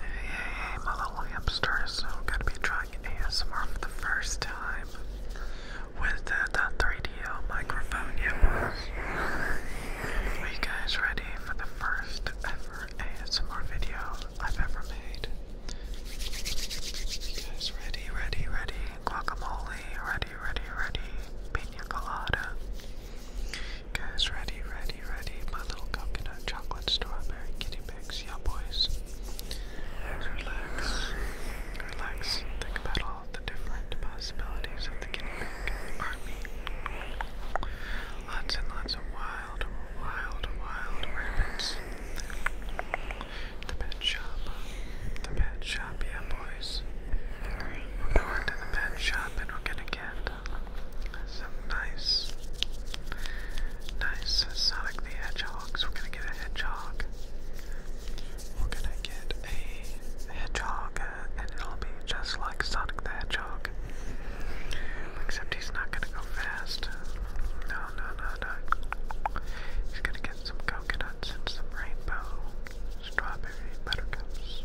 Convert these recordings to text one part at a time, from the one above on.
Hey, hey, my little hamsters. I'm gonna be trying ASMR for the first time with the, 3DL microphone you guys ready for the first ever ASMR video I've ever made? You guys ready, ready, ready? Guacamole, ready, ready, ready. Pina colada. Guys, ready, ready, ready. My little coconut chocolate strawberry kitty pigs, Yeah, boys. Relax. Relax. Think about all the different possibilities of the guinea pig army. Lots and lots of wild, wild, wild rabbits. The pet shop. The pet shop, yeah, boys. We're going to the pet shop and we're gonna get some nice, nice Sonic the Hedgehogs. We're gonna get a hedgehog. We're gonna get a hedgehog, uh, and it'll be just like Sonic the Hedgehog. Except he's not gonna go fast. No, no, no, no. He's gonna get some coconuts and some rainbow strawberry buttercups.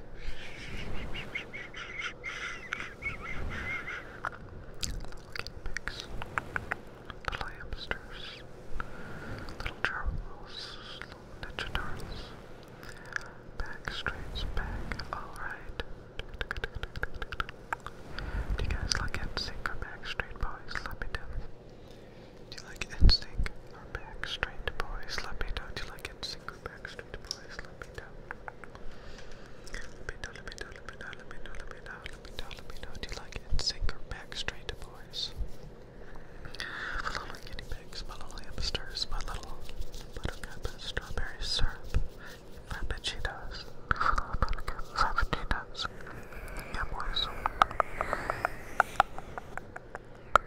Guinea the hamsters, little charles, little ninja turtles. Back alright. Do you guys like it? Sync or Backstreet Boys? Let me do you like it? or Backstreet Boys? Let me know. Do you like NSYNC or Backstreet Boys? Let me know. Let me know, let me know, let me know, let me know, let me know, let me know, let me know. Do you like NSYNC or Backstreet Boys? My guinea pigs, my little hamsters, my little buttercup strawberry syrup, frappuccinos, buttercup frappuccinos. Yeah, boys. God,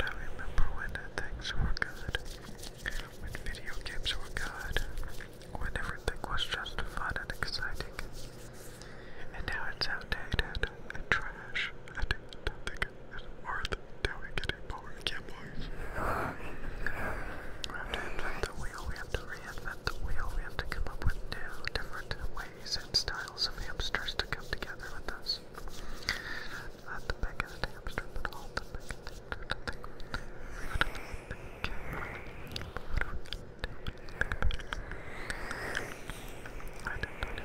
I remember when things were good, when video games were good, when everything was just fun and exciting. And now it's outdated and trash, and nothing it's worth doing it anymore. Yeah, boys. We have to invent the wheel, we have to reinvent the wheel, we have to come up with new, different ways and styles of hamsters to come together with us. Not the biggest hamster, the biggest I don't know.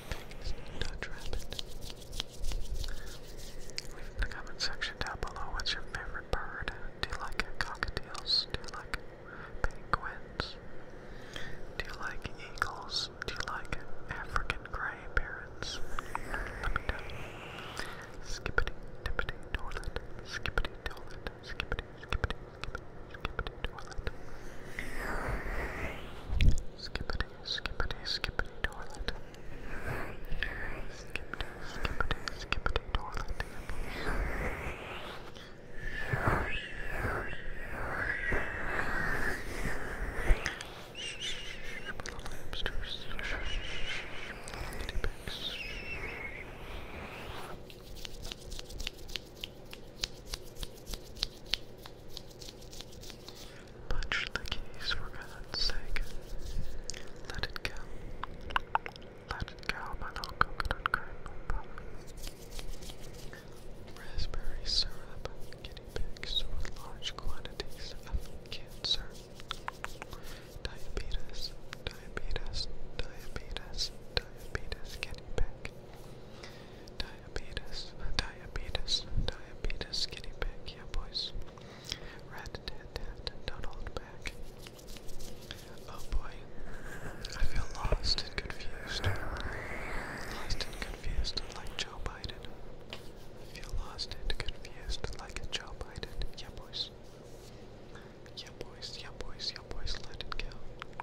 things Dutch Rabbit. Leave in the comment section down below what's your favorite bird. Do you like cockatiels? Do you like penguins? Do you like eagles? Do you like African grey parrots? Let me know. Skippity, dippity, toilet. Skippity, toilet. Skippity, skippity, skippity. Skippity toilet. Skippity, skippity, skippity toilet. Skippity, skippity, skippity toilet. Little hamsters. Guinea pigs. Punch the keys for God's sake. Let it go. Let it go, my little coconut cream pop. Raspberry syrup, guinea pigs with large quantities of cancer. Diabetes, diabetes, diabetes, diabetes guinea pig. Di diabetes, diabetes, diabetes, guinea pig, yeah boys. Rat tat tat, don't hold back. Oh boy, I feel lost and confused. Lost and confused like Joe Biden. I feel lost and confused like Joe Biden, yeah boys. Yeah boys, yeah boys, yeah boys, let it go.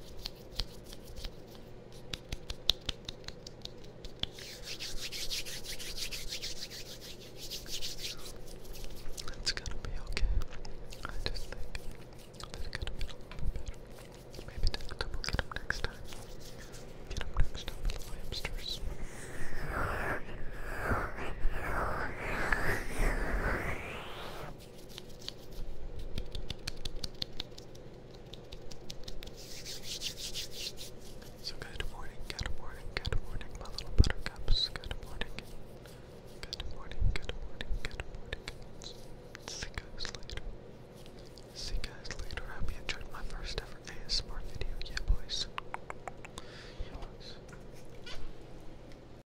It's gonna be okay. I just think that it could have a little better. Maybe next time get him next time. with the hamsters. So good morning, good morning, good morning, my little buttercups. Good morning, good morning, good morning, good morning. See you guys later. See you guys later. I hope you enjoyed my first ever ASMR video. Yeah, boys. Yeah,